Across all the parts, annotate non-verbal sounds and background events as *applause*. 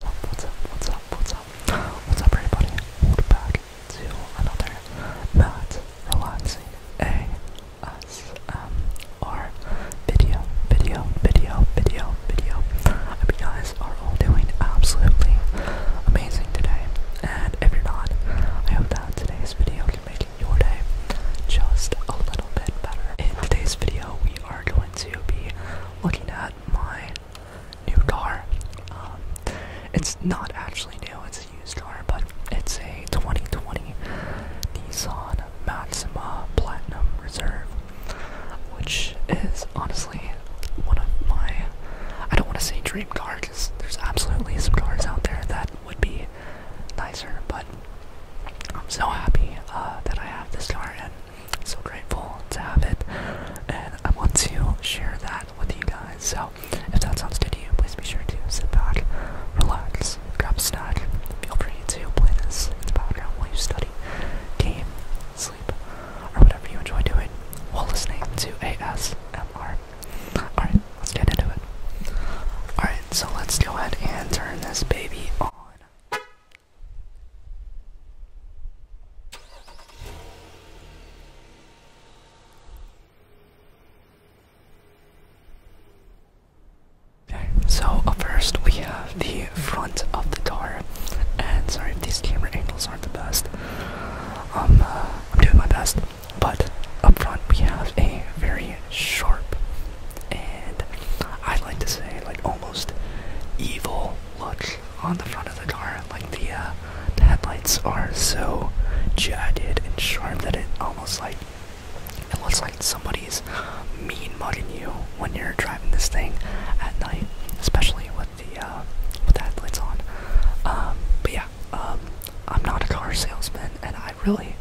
What's up, what's up, what's up? What's up everybody? Welcome back to another Matt Relaxing ASMR video, video, video, video, video. I hope you guys are all doing absolutely amazing today. And if you're not, I hope that today's video can make your day just a little bit better. In today's video, we are going to be looking at my new car. Um, it's not actually new, it's a used car, but it's a 2020 Nissan Maxima Platinum Reserve, which is honestly one of my, I don't want to say dream car, because there's absolutely some cars out there that would be nicer, but I'm so happy uh, that I have this car, so grateful to have it, and I want to share that with you guys. So if that sounds good to you, please be sure to sit back, relax, grab a snack. Feel free to play this in the background while you study, game, sleep, or whatever you enjoy doing while listening to ASMR. Alright, let's get into it. Alright, so let's go ahead and turn this baby on. Okay, so uh, first we have the front of the door, and sorry if these camera angles aren't the best. Um, uh, I'm doing my best, but up front we have a very sharp and I like to say like almost evil look on the front of the car. Like the uh, the headlights are so jagged and sharp that it almost like it looks like somebody's mean mugging you when you're driving this thing at night, especially with the uh, with the headlights on. Um, but yeah, um, I'm not a car salesman, and I really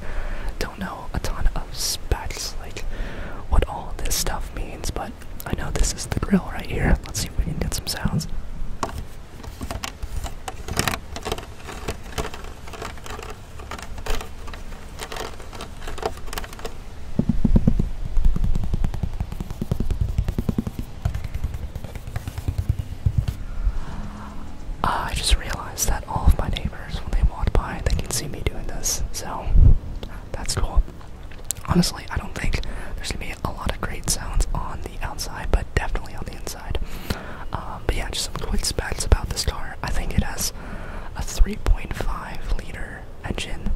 don't know a ton of specs, like what all this stuff means, but I know this is the grill right here. Let's see if we can get some sounds. Uh, I just realized that all of my neighbors, when they walk by, they can see me doing this, so that's cool. Honestly, I don't think there's gonna be a lot of great sounds on the outside, but definitely on the inside. Um, but yeah, just some quick specs about this car. I think it has a 3.5 liter engine.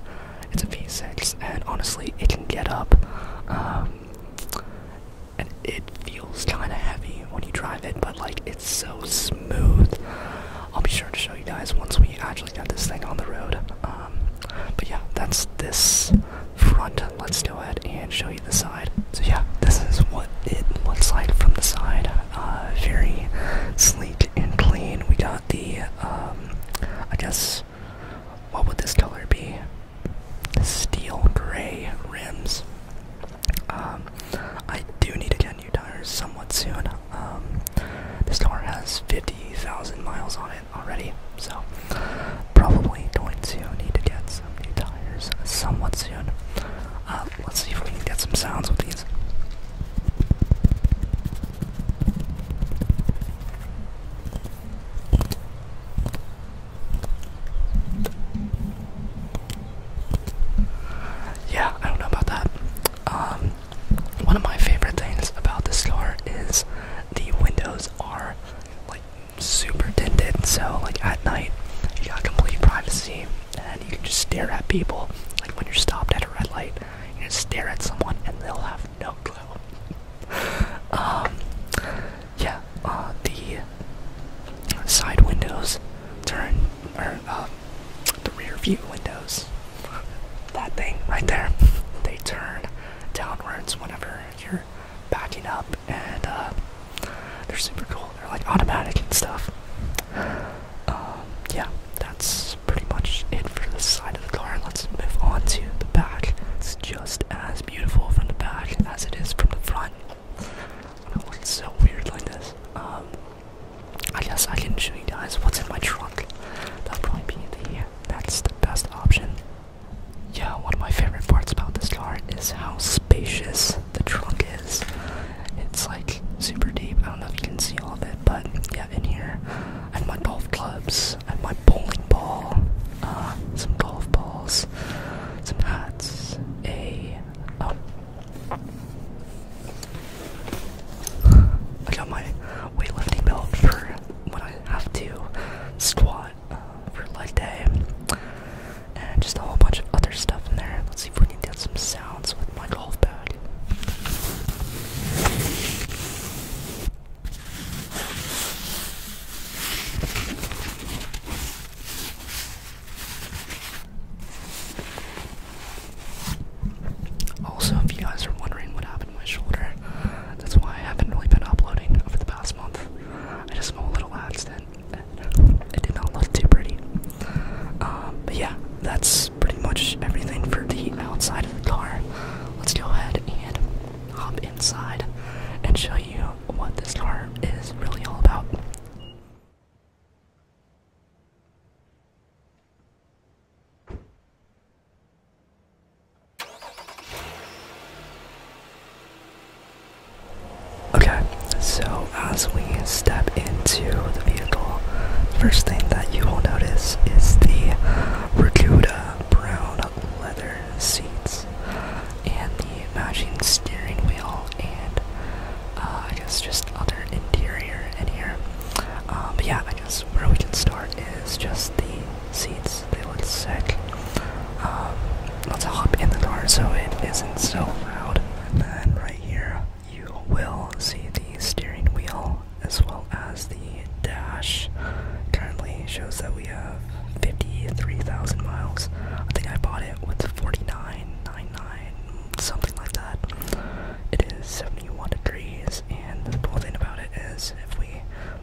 It's a V6, and honestly, it can get up. Um, and it feels kind of heavy when you drive it, but like it's so smooth. I'll be sure to show you guys once we actually got this thing on the road. Um, but yeah, that's this front. Let's go ahead and show you the side. So yeah, this is what it looks like from the side. Uh, very sleek and clean. We got the, um, I guess, what would this color be? Steel gray rims. Um, I do need to get new tires somewhat soon. Um, this car has 50,000 miles on it already, so probably going to need to get some new tires somewhat soon. Uh, let's see if we can get some sounds with these. Yeah, I don't know about that. Um, one of my favorite things about this store is the windows are like super tinted, so like at night you got complete privacy and you can just stare at people. Like when you're stopped at a red light, you can stare at someone and they'll have no clue. *laughs* Um, yeah, uh, the side windows turn, or uh, the rear view windows, that thing right there, they turn downwards whenever you're backing up, and uh, they're super cool. They're like automatic and stuff. Um, yeah, that's pretty much it for the side of the car. Let's move on to the back. It's just as beautiful from the back as it is from the front. it's so weird like this. Um, I guess I can show you guys what's in my trunk. That'll probably be the that's the best option. Yeah, one of my favorite parts about this car is how spacious the trunk is. It's like super deep. I don't know if you can see all of it, but yeah, in here I have my golf clubs and my bowling ball, uh, some golf balls, some hats, a oh. I got my weightlifting belt for when I have to squat uh, for leg day, and just a whole bunch of other stuff in there. Let's see if we can get some sounds with my golf bag. Also, if you guys are wondering what happened to my shoulder, that's why I haven't really been uploading over the past month. I just small little accident, that it did not look too pretty. Um, but yeah, that's pretty much everything for the outside of the car. Let's go ahead and hop inside and show you what this car is really all about. Okay, so as we step into the vehicle, first thing that you will notice is the Recuda brown leather seats and the matching steering wheel and uh, I guess just other interior in here. Um, but yeah, I guess where we can start is just the seats. They look sick. Um, let's hop in the car so it isn't so loud. And then right here you will see the steering wheel as well as the dash currently shows that we have 53,000 miles. I think I bought it with 49.99, something like that. It is 71 degrees, and the cool thing about it is if we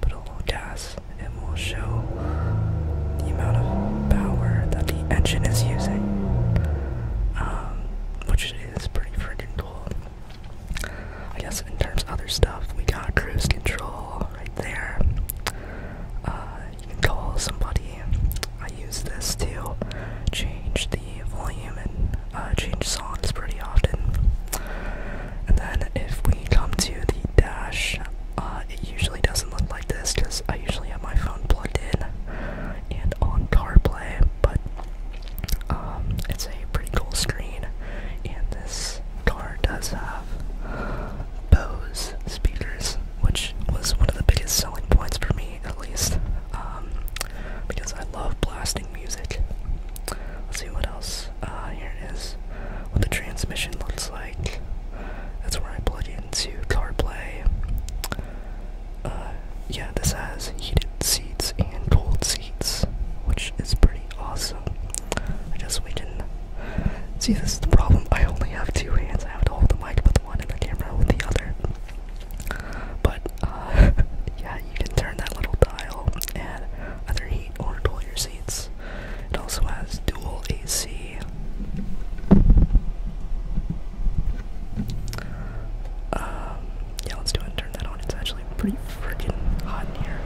put a little gas, it will show the amount of power that the engine is using, um, which is pretty freaking cool. I guess in terms of other stuff, we got cruise control right there. Uh, you can call somebody. I use this to change the volume and uh, change songs pretty often. And then if we come to the dash, uh, it usually doesn't look like this because I usually have my phone plugged in and on CarPlay, but um, it's a pretty cool screen, and this car does have Bose speakers, which was one of the biggest selling points for me, at least, um, because I love blasting music. Let's see what else. Uh, here it is. What the transmission looks like. That's where I plug into CarPlay. Uh, yeah, this has heated seats and cold seats, which is pretty awesome. I guess we can see this is the problem. I only have two hands. I have to hold the mic with one and the camera with the other. But uh, *laughs* yeah, you can turn that little dial and either heat or cool your seats. It also has dual AC. Um, yeah, let's do it and turn that on. It's actually pretty freaking hot in here.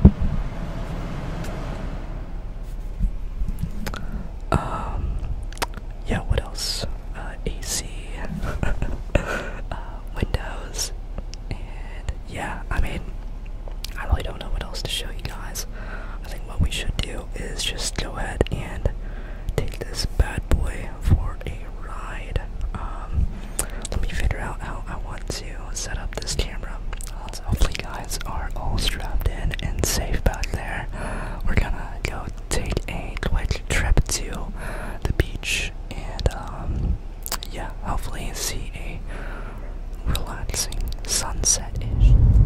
Um, yeah, what else? Uh, AC, *laughs* uh, Windows, and yeah, I mean, I really don't know what else to show you guys. I think what we should do is just go ahead and take this bad boy for a ride. Um, let me figure out how I want to set up this camera. Uh, hopefully, guys are all strapped in and safe back there. We're gonna go take a quick trip to the beach and, um, yeah, hopefully, see a relaxing sunset ish.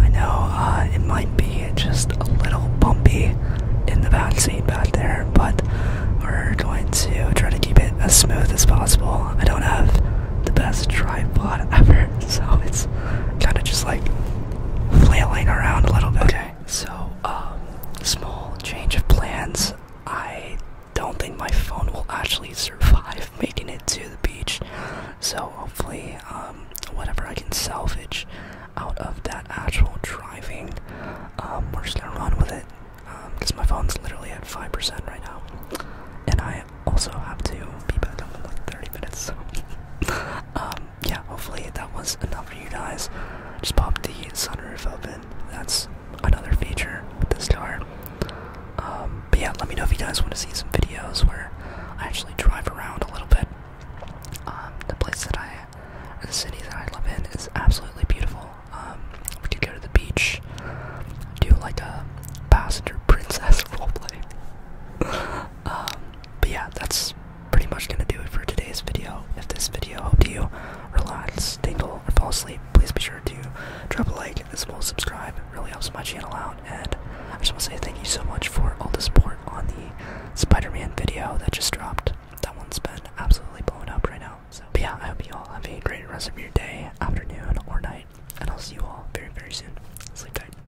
I know uh, it might be just a little bumpy in the back seat back there, but we're going to try to keep it as smooth as possible. I don't have the best tripod *laughs* ever, so it's kind of just like flailing around a little bit so um, small change of plans. I don't think my phone will actually survive *laughs* making it to the beach, so hopefully, um, whatever I can salvage out of that actual driving, um, we're just gonna run with it. Because my phone's literally at five percent right now, and I also have to be back up in like thirty minutes. *laughs* yeah, hopefully that was enough for you guys. Just pop the sunroof open. That's another feature with this car. Um, but yeah, let me know if you guys want to see some videos where I actually drive around a little bit. Um, the place that I, the city that I live in, is absolutely beautiful. Um, we could go to the beach, do like a passenger *laughs* princess roleplay. *laughs* um, but yeah, that's pretty much gonna do it for today's video. If this video helped you relax, tingle, or fall asleep, please be sure to drop a like as well subscribe. It really helps my channel out. And I just want to say thank you so much for all the support on the Spider-Man video that just dropped. That one's been absolutely blowing up right now. So yeah, I hope you all have a great rest of your day, afternoon, or night, and I'll see you all very, very soon. Sleep tight.